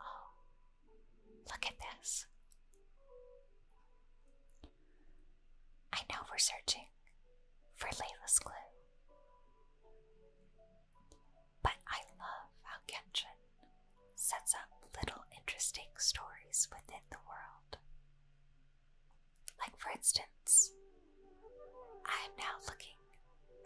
Oh, look at this. I know we're searching for Layla's clue. But I love how Kenshin sets up little interesting stories within the world. Like, for instance, I am now looking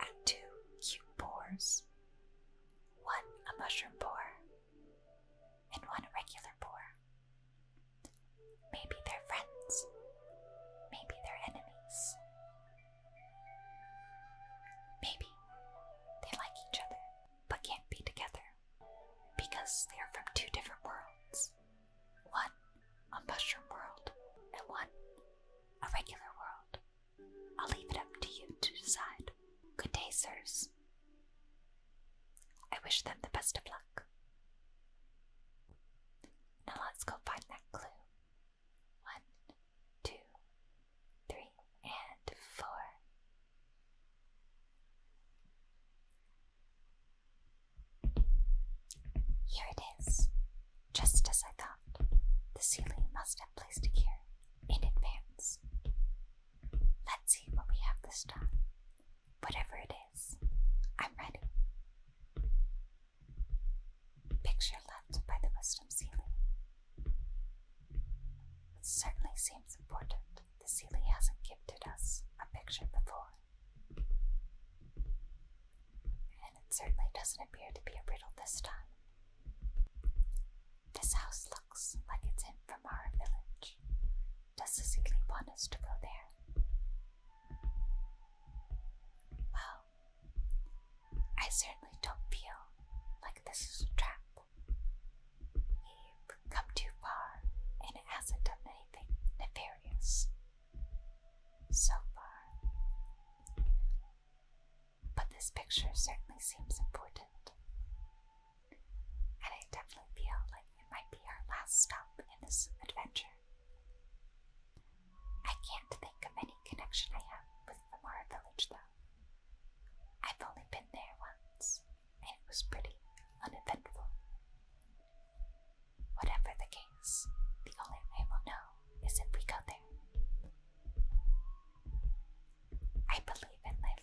at two cute boars one a mushroom pour, and one a regular pour. Maybe they're friends, maybe they're enemies. Maybe they like each other but can't be together because they are from two different worlds one a mushroom world and one a regular world. I'll leave it up to you to decide. Good day, sirs. I wish them the best of luck. Now let's go find that clue. One, two, three, and four. Here it is. Just as I thought, the ceiling must have placed a gear in advance. Let's see what we have this time. Whatever it is, I'm ready. Picture left by the Wisdom ceiling. It certainly seems important the ceiling hasn't gifted us a picture before. And it certainly doesn't appear to be a riddle this time. This house looks like it's in from our village. Does the Ziggy want us to go there? Well, I certainly don't feel like this is a trap. We've come too far and it hasn't done anything nefarious so far but this picture certainly seems important. And I definitely feel like it might be our last stop in this adventure. I can't think of any connection I have with the Mara village, though. I've only been there once, and it was pretty uneventful. Whatever the case, the only way we'll know is if we go there. I believe in my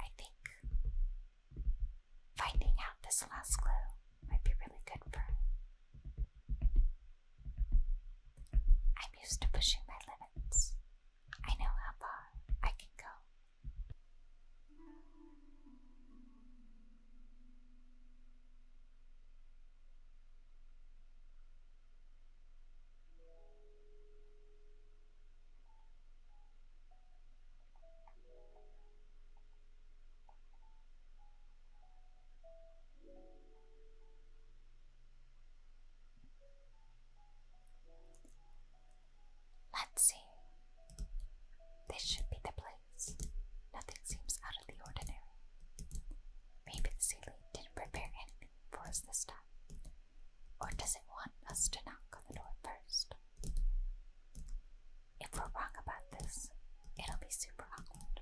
I think finding out this last clue might be really good for her. I'm used to pushing my limits. I know how far I can go. Let's see. This should be the place. Nothing seems out of the ordinary. Maybe the Sealy didn't prepare anything for us this time. Or does it want us to knock on the door first? If we're wrong about this, it'll be super awkward.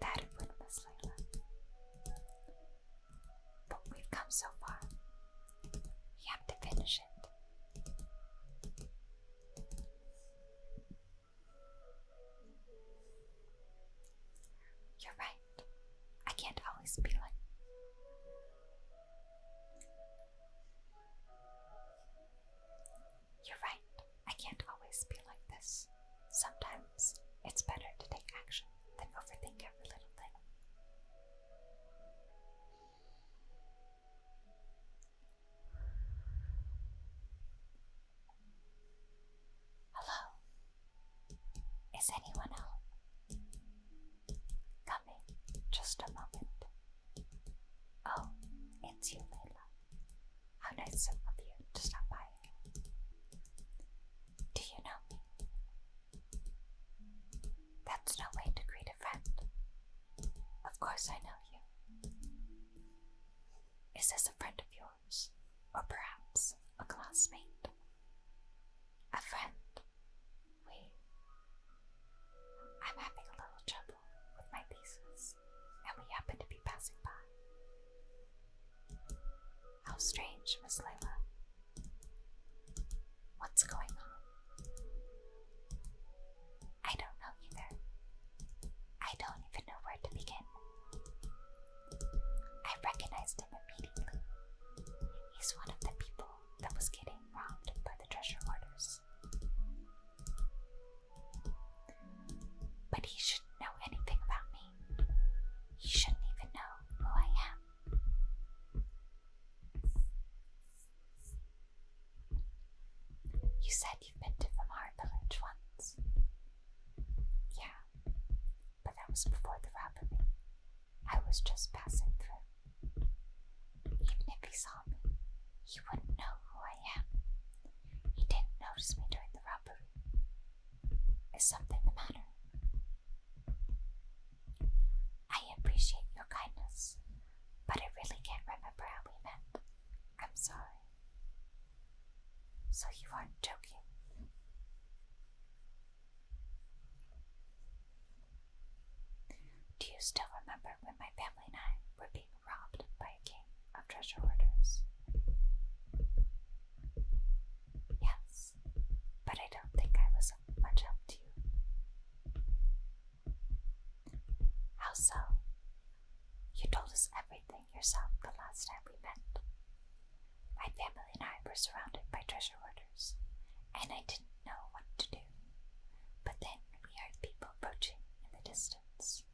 That it would, Miss Layla. But we've come so far. We have to finish it. You're right. I can't always be like. You're right. I can't always be like this. Sometimes it's better to take action than overthink every little thing. Hello? Is anyone home? Coming, just a moment. Oh, it's you, Layla. How nice of you to stop by. Do you know me? That's no way to greet a friend. Of course, I know you. Is this a friend of yours? Or perhaps a classmate? A friend? We. I'm having a little trouble with my thesis, and we happen to be passing by. How strange, Miss Layla. What's going on? I don't know either. I don't even know where to begin. I recognized him immediately. He's one of the people that was getting robbed by the treasure orders. But he shouldn't know anything about me. He shouldn't even know who I am. You said you've been to Vamar Village once. Yeah, but that was before the robbery. I was just passing through. Even if he saw me, he wouldn't know who I am. He didn't notice me during the robbery. Is something the matter? I appreciate your kindness, but I really can't remember how we met. I'm sorry. So you aren't joking? Do you still remember when my family and I were being robbed by a gang of treasure hoarders? Yes, but I don't think I was much help to you. How so? You told us everything yourself the last time we met. My family and I were surrounded by treasure hoarders, and I didn't know what to do. But then we heard people approaching in the distance.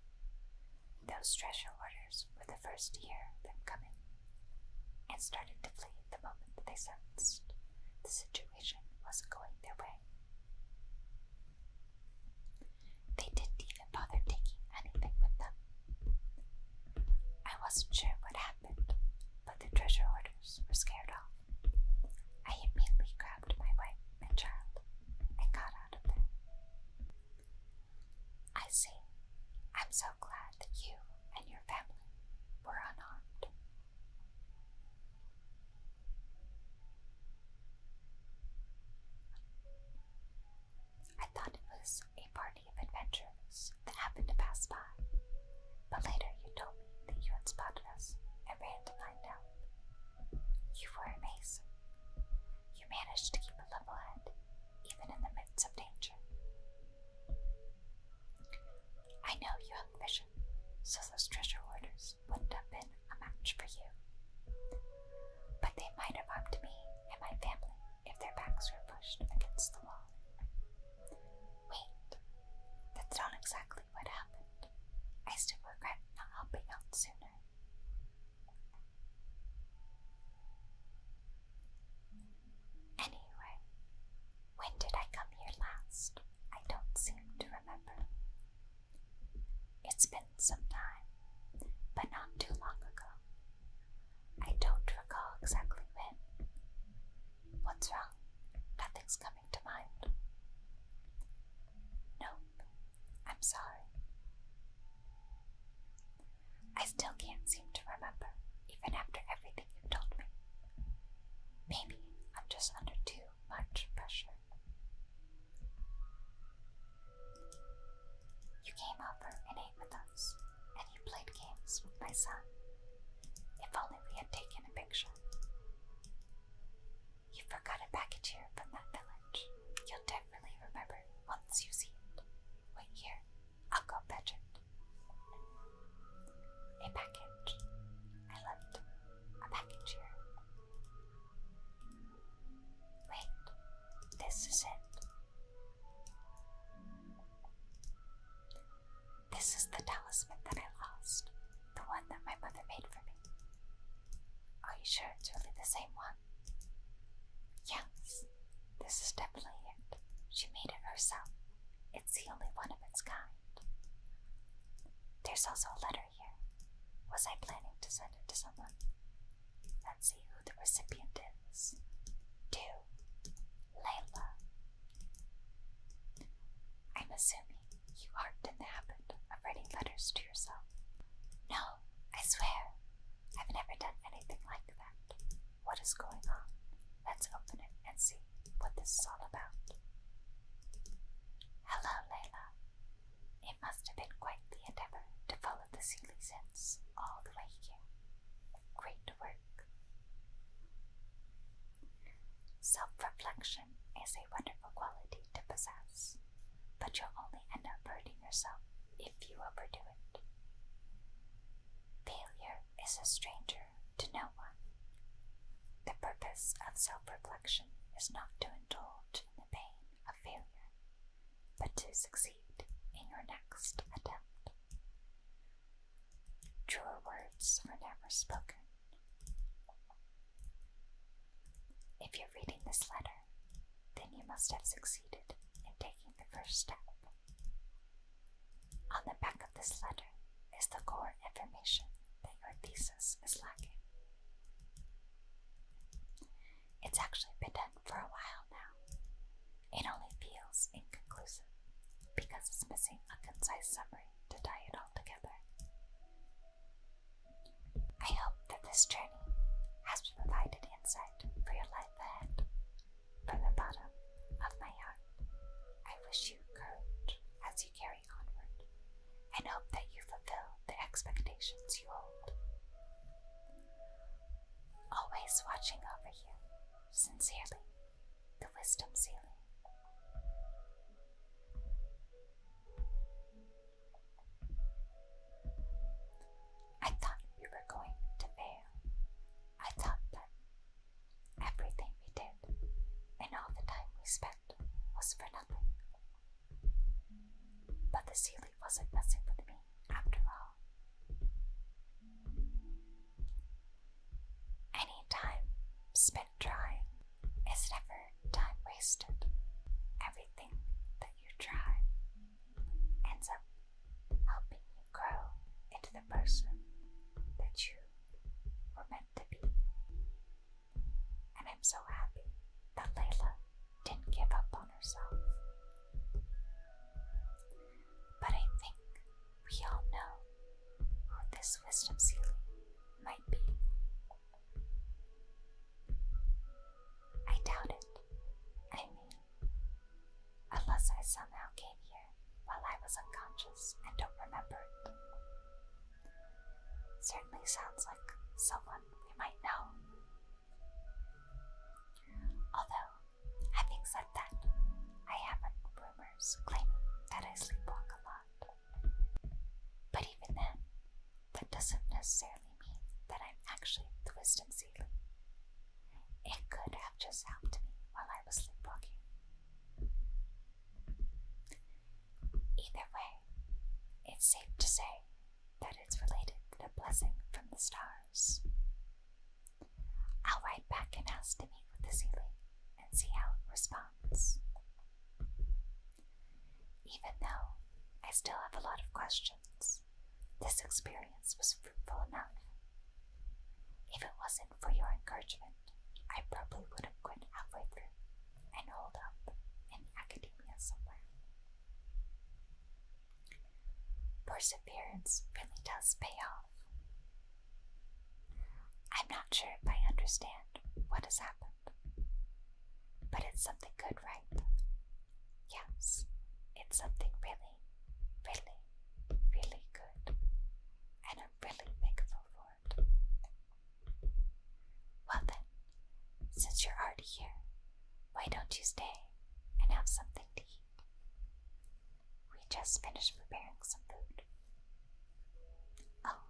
Those treasure hoarders were the first to hear them coming, and started to flee the moment they sensed the situation wasn't going their way. They didn't even bother taking anything with them. I wasn't sure what happened, but the treasure hoarders were scared off. I immediately grabbed my wife and child and got out of there. I see. I'm so glad that you and your family were unharmed. I thought it was a party of adventurers that happened to pass by, but later you told me that you had spotted us and ran to find out. You were amazing. You managed to keep a level head, even in the midst of danger. I know you have vision, so those treasure orders wouldn't have been a match for you. But they might have harmed me and my family if their backs were pushed against the wall. Wait, that's not exactly what happened. I still regret not helping out sooner. Anyway, when did I come here last? I don't seem to remember. It's been some time, but not too long ago. I don't recall exactly when. What's wrong? Nothing's coming to mind. Nope, I'm sorry. I still can't seem to remember, even after everything you've told me. Maybe I'm just under too much pressure. You came over and ate with us, and you played games with my son. If only we had taken a picture. You forgot a package here from that village. You'll definitely remember once you see it. Wait here, I'll go fetch it. A package. I left a package here. Wait, this is it. This is the talisman that I lost, the one that my mother made for me. Are you sure it's really the same one? Yes, this is definitely it. She made it herself. It's the only one of its kind. There's also a letter was I planning to send it to someone? Let's see who the recipient is. To Layla. I'm assuming you aren't in the habit of writing letters to yourself. No, I swear, I've never done anything like that. What is going on? Let's open it and see what this is all about. Hello, Layla. It must have been quite the endeavor to follow the Sealy sense all the way here. Great work. Self reflection is a wonderful quality to possess, but you'll only end up hurting yourself if you overdo it. Failure is a stranger to no one. The purpose of self reflection is not to indulge in the pain of failure, but to succeed in your next attempt. Truer words are never spoken. If you're reading this letter, then you must have succeeded in taking the first step. On the back of this letter is the core information that your thesis is lacking. It's actually been done for a while now. It only feels inconclusive because it's missing a concise summary to tie it all together. I hope that this journey has provided insight for your life ahead. From the bottom of my heart, I wish you courage as you carry and hope that you fulfill the expectations you hold. Always watching over you, sincerely, the wisdom ceiling. I thought we were going to fail. I thought that everything we did and all the time we spent was for nothing. But the ceiling wasn't messing with me after all. Any time spent trying is never time wasted. Everything that you try ends up helping you grow into the person that you were meant to be and I'm so happy that Layla didn't give up on herself. But I think we all know who this wisdom ceiling might be. I doubt it. I mean, unless I somehow came here while I was unconscious and don't remember it. Certainly sounds like someone we might know. Although, having said that, I have heard rumors claiming that I sleepwalk a lot. But even then, that doesn't necessarily mean that I'm actually the wisdom It could have just helped me while I was sleepwalking. Either way, it's safe to say that it's related to a blessing from the stars. I'll ride back and ask to meet with the Sealy and see how it responds. Even though I still have a lot of questions, this experience was fruitful enough. If it wasn't for your encouragement, I probably would have quit halfway through and hold up in academia somewhere. Perseverance really does pay off. I'm not sure if I understand what has happened, but it's something good, right? Yes, it's something really, really, really good, and I'm really thankful for it. Well then, since you're already here, why don't you stay and have something to eat? We just finished preparing some food. Oh.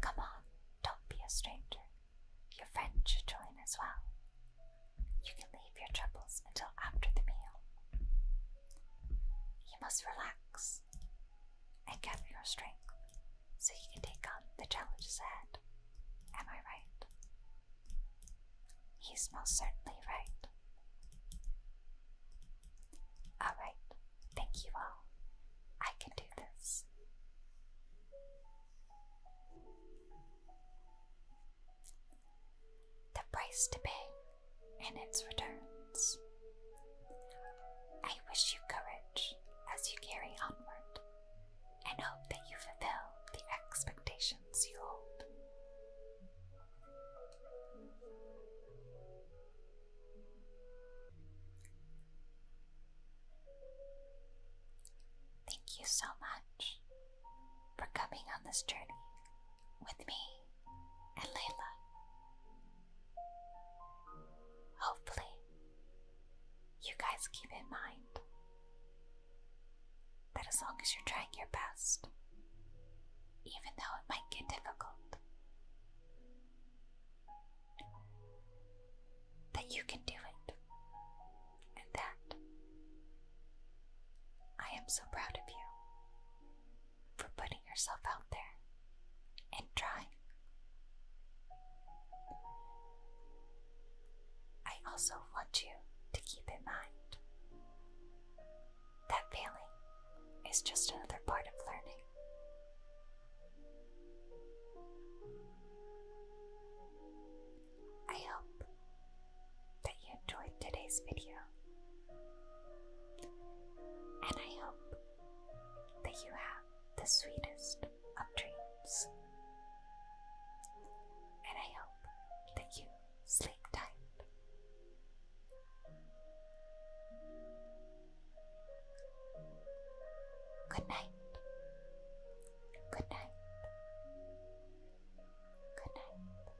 Come on, don't be a stranger. Your friend should join as well. You can leave your troubles until after the meal. You must relax and gather your strength so you can take on the challenges ahead. Am I right? He's most certainly right. Alright, thank you all. I can do this. The price to pay and its returns. I wish you courage as you carry onward and hope that you fulfill the expectations you hold. Thank you so much for coming on this journey with me and Layla. Hopefully, you guys keep in mind that as long as you're trying your best, even though it might get difficult, that you can do it. And that I am so proud of you for putting yourself out there and trying. I also want you to keep in mind that failing is just another part of learning. I hope that you enjoyed today's video, and I hope that you have the sweetest of dreams. And I hope that you sleep tight. Good night. Good night. Good night.